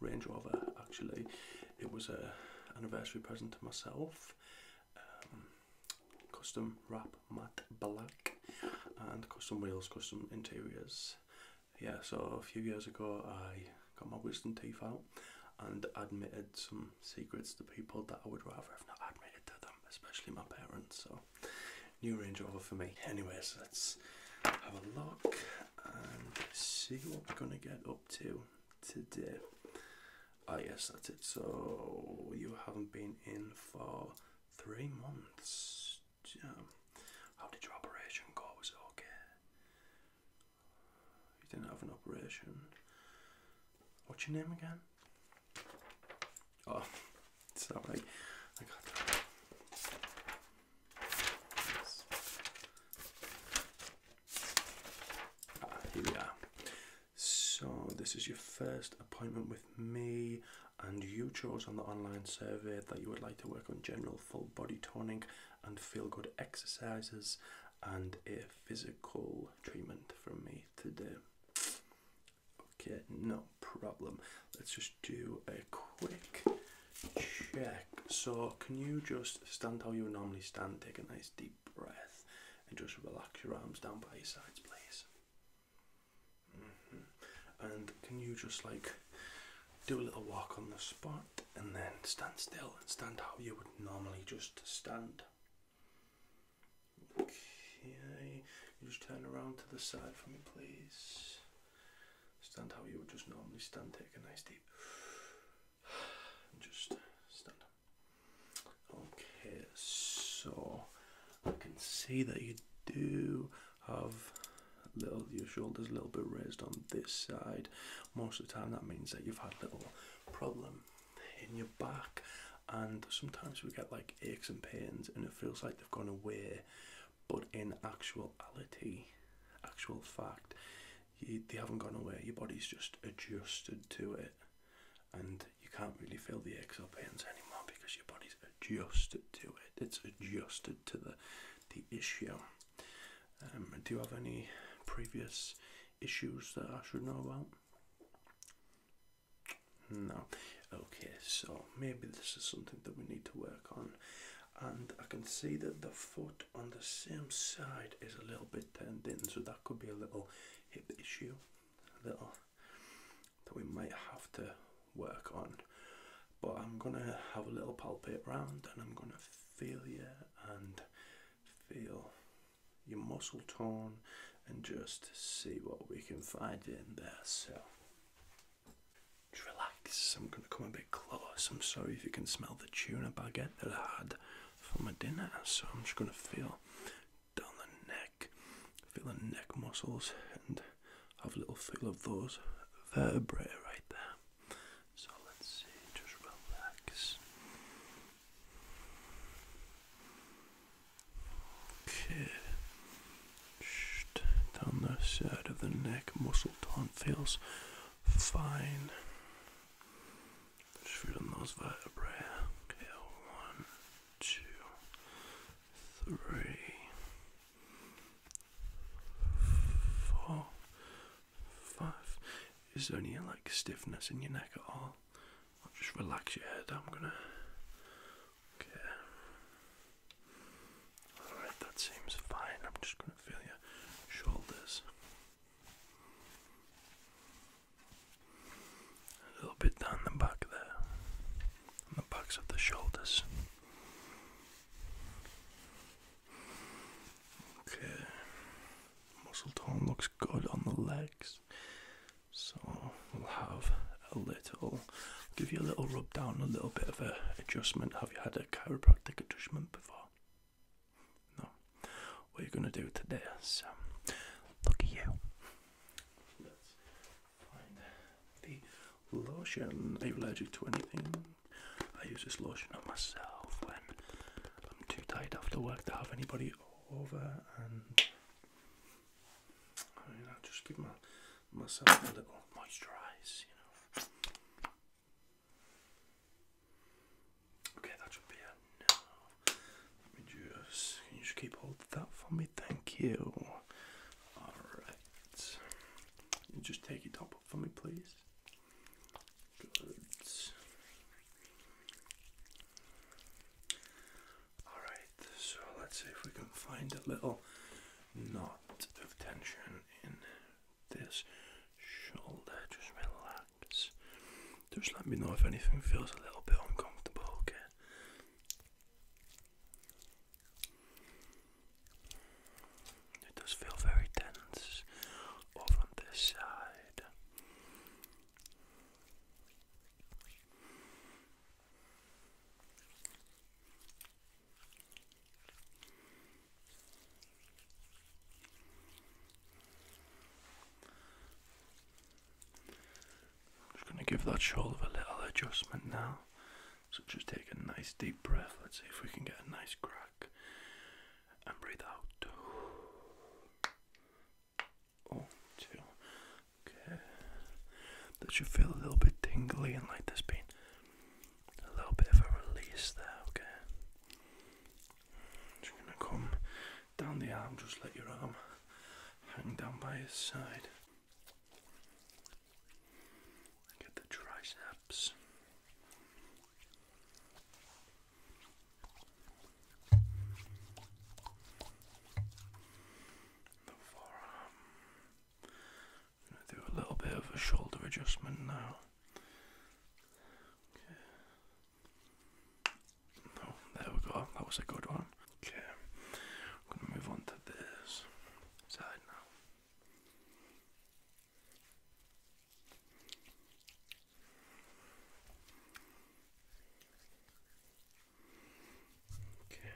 Range Rover actually. It was a anniversary present to myself. Um, custom wrap matte black and custom wheels, custom interiors. Yeah, so a few years ago I got my wisdom teeth out and admitted some secrets to people that I would rather have not admitted to them, especially my parents. So, new Range Rover for me. Anyways, let's have a look and see what we're going to get up to today. Ah, oh, yes, that's it. So you haven't been in for three months. Yeah. How did your operation go? Was it okay? You didn't have an operation. What's your name again? Oh, sorry. I got Ah, here we are. So, this is your first appointment with me, and you chose on the online survey that you would like to work on general full body toning and feel good exercises and a physical treatment from me today. Okay, no problem. Let's just do a quick check. So, can you just stand how you would normally stand? Take a nice deep breath and just relax your arms down by your sides, please. Mm-hmm. And can you just like do a little walk on the spot and then stand still and stand how you would normally just stand? Okay, you just turn around to the side for me, please. Stand how you would just normally stand. Take a nice deep and just stand. Okay, so I can see that you do have a little your shoulders a little bit raised on this side. Most of the time, that means that you've had a little problem in your back, and sometimes we get like aches and pains, and it feels like they've gone away but in actuality, actual fact, they haven't gone away. Your body's just adjusted to it, and you can't really feel the aches or pains anymore because your body's adjusted to it. It's adjusted to the the issue. Um, do you have any previous issues that I should know about? No. Okay, so maybe this is something that we need to work on and I can see that the foot on the same side is a little bit turned in, so that could be a little hip issue, a little that we might have to work on. But I'm gonna have a little palpate round, and I'm gonna feel you and feel your muscle tone, and just see what we can find in there. So. Just relax. I'm going to come a bit close. I'm sorry if you can smell the tuna baguette that I had for my dinner. So I'm just going to feel down the neck, feel the neck muscles, and have a little feel of those vertebrae right there. So let's see. Just relax. Okay down the side of the neck muscle tone feels fine. Just feeling those vertebrae. Okay, one, two, three, four, five. Is there any like stiffness in your neck at all? just relax your head. I'm gonna. Okay. Alright, that seems fine. I'm just going to feel your shoulders. A little bit down the back there, the backs of the shoulders. Okay, muscle tone looks good on the legs, so we'll have a little. Give you a little rub down, a little bit of a adjustment. Have you had a chiropractic adjustment before? No. What you're gonna do today So, um, look at you. Let's find the lotion. Are you allergic to anything? I use this lotion on myself when I'm too tired after work to have anybody over, and I, will just give my myself a little moisturize, you know. Okay, that should be it. Let me just you just keep hold of that for me? Thank you. Alright. You just take your top up for me, please. Alright, so let's see if we can find a little knot of tension in this shoulder. Just relax. Just let me know if anything feels a little bit uncomfortable, okay? It does feel very tense over on this side. I'm just going to give that shoulder a little adjustment now. So just take a nice deep breath. Let's see if we can get a nice crack and breathe out one, two. Okay. That should feel a little bit tingly and like there's been a little bit of a release there, okay? Just gonna come down the arm, just let your arm hang down by his side. Get the triceps forearm. I'm going to do a little bit of a shoulder adjustment now. Okay. Oh, there we go. That was a good one. Okay. I'm going to move on to this side now. Okay.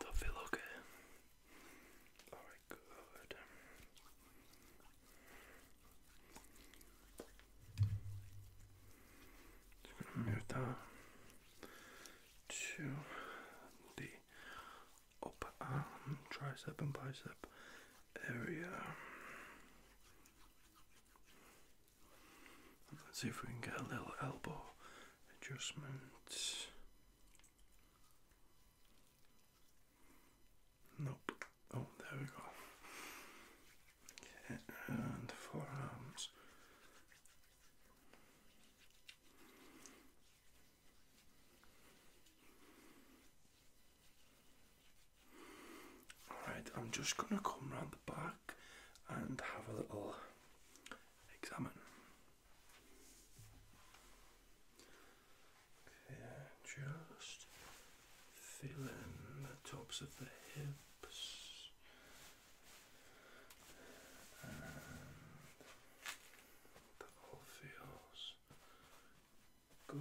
Does that feel okay? Alright, good. Just going upper arm, um, tricep and bicep area. let's see if we can get a little elbow adjustment. Nope. Oh, there we go. and forearms. Alright, I'm just going to come round the back and have a little examine. just feeling the tops of the hips and that all feels Good.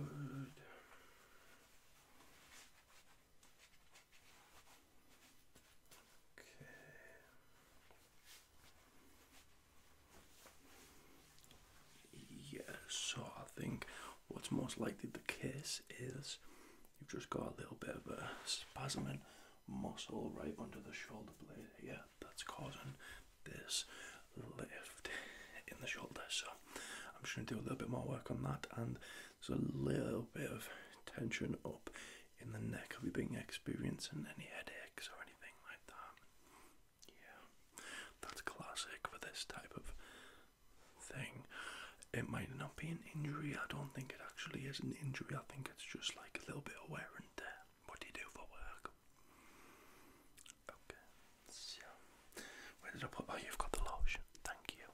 Okay. Yes, so I think what's most likely the case is you've just got a little bit of a spasming muscle right under the shoulder blade here that's causing this lift in the shoulder. So I'm just going to do a little bit more work on that, and there's a little bit of tension up in the neck. Have you been experiencing any headaches or anything like that? Yeah, that's classic for this type of thing. It might not be an injury. I don't think it actually is an injury. I think it's just like a little bit of wear and tear. What do you do for work? Okay, so where did I put? Oh, you've got the lotion. Thank you.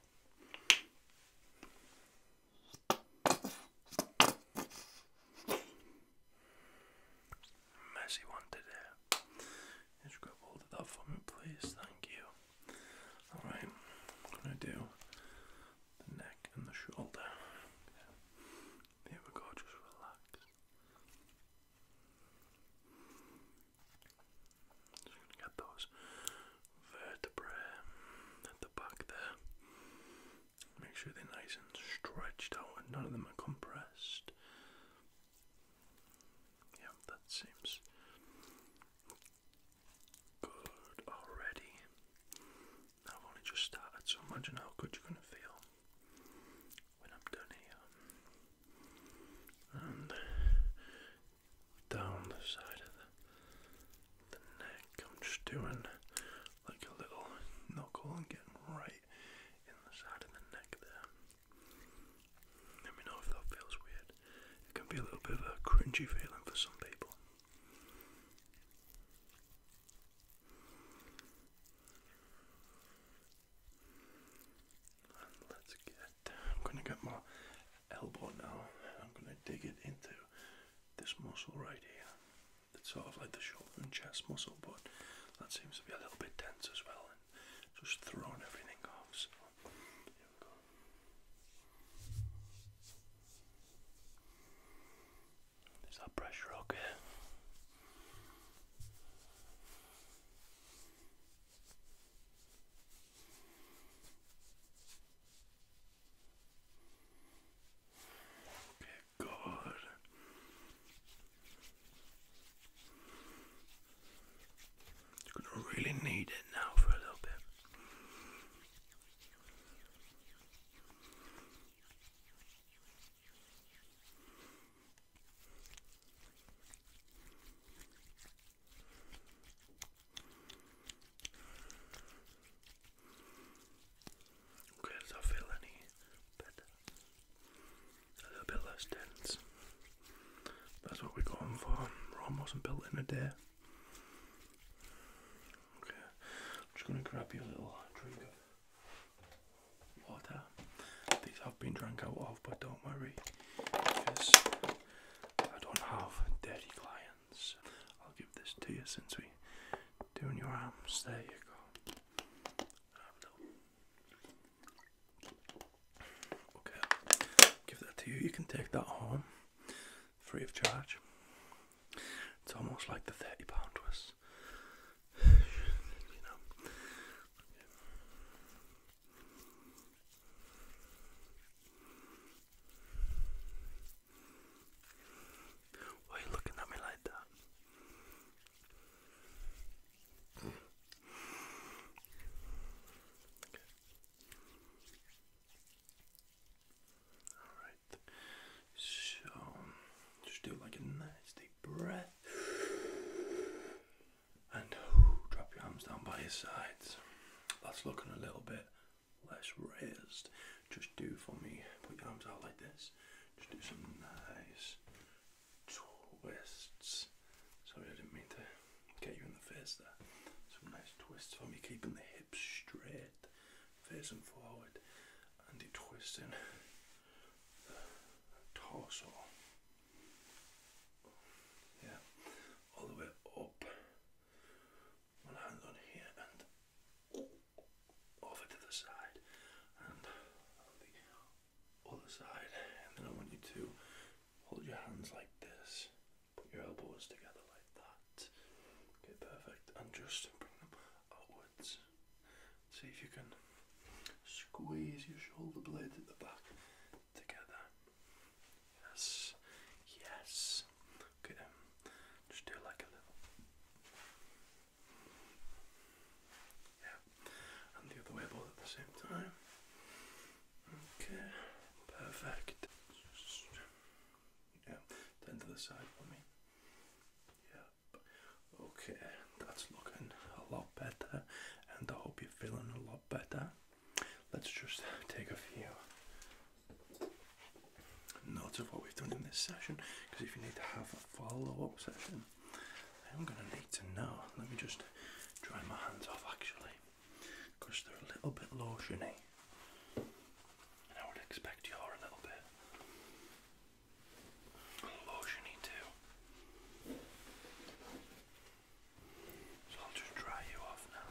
Messy one today. Just grab hold of that for me, please. Thank you. All right, I'm gonna do the neck and the shoulder. There we go, just relax. Just gonna get those vertebrae back there. Make sure they're nice and stretched out and none of them are compressed. Yeah, that seems good already. I've only just started, so imagine how good you're going to feel when I'm done here. And down the side of the, neck, I'm just doing like a little knuckle and getting right in the side of the neck there. Let me know if that feels weird. It can be a little bit of a cringy feeling for some people let's get, I'm going to get my elbow now I'm going to dig it into this muscle right here. It's sort of like the shoulder and chest muscle, but that seems to be a little bit tense as well and just throwing everything off. So here we go. There's pressure rocker. Okay, good. gonna really need it now for a little bit. Okay, does that feel any better? A little bit less dense. That's what we're going for. Rome wasn't built in a day. Okay, I'm just going to grab you a little drink of water. These have been drank out of, but don't worry because I don't have dirty clients. I'll give this to you since we doing your arms. There you go. Okay, give that to you. You can take that home free of charge. It's almost like the thirty pound was, you know. Why are you looking at me like that? Alright, so just do like a nice deep breath and drop your arms down by your sides. That's looking a little bit less raised. Just do for me, put your arms out like this. Just do some nice twists. Sorry, I didn't mean to get you there's uh, the, some nice twists for me, keeping the hips straight, facing forward, and the twisting the torso. Yeah, all the way up. One hand on here and over to the side, and the other side. And then I want you to hold your hands like this Put your elbows together like that. Okay, perfect. And just bring them outwards. See if you can squeeze your shoulder blades at the back together. Yes. Yes. Okay, just do like a little. Yeah. And the other way both at the same time. Okay, perfect. yeah, turn to the side for me. Yep. Okay, that's looking a lot better, and I hope you're feeling a lot better. Let's just take a few notes of what we've done in this session, because if you need to have a follow-up session, I'm gonna need to know. Let me just dry my hands off actually because they're a little bit lotiony. And I would expect you a little bit lotiony too. So I'll just dry you off now.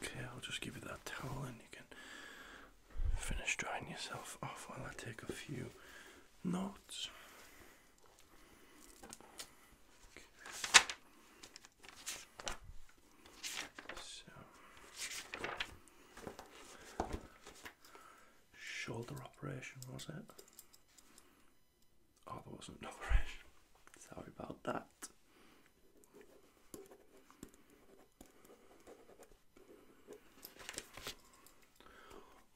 Okay, I'll just give you that towel and you can finish drying yourself off while I take a few notes. shoulder operation was it? Oh, there wasn't an operation. Sorry about that.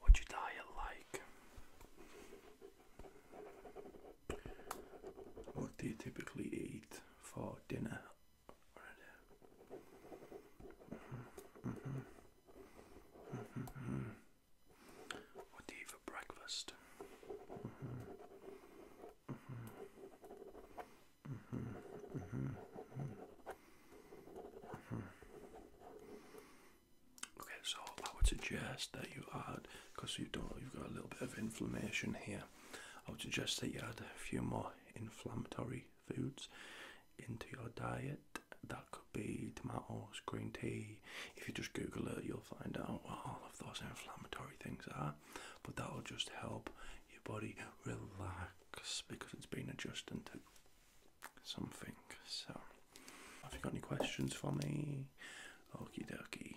What you diet like? What do you typically eat for dinner? What do you for breakfast? Mm-hmm. Mm-hmm. Okay, so I would suggest that you add, because you you've got a little bit of inflammation here. I would suggest that you add a few more inflammatory foods into your diet. That could be tomatoes, green tea, if you just Google it, you'll find out what all of those inflammatory things are. But that'll just help your body relax because it's been adjusting to something. So, have you got any questions for me? Okie dokie.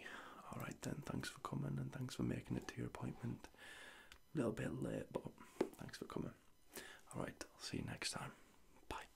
Alright then, thanks for coming and thanks for making it to your appointment. A little bit late, but thanks for coming. Alright, I'll see you next time. Bye.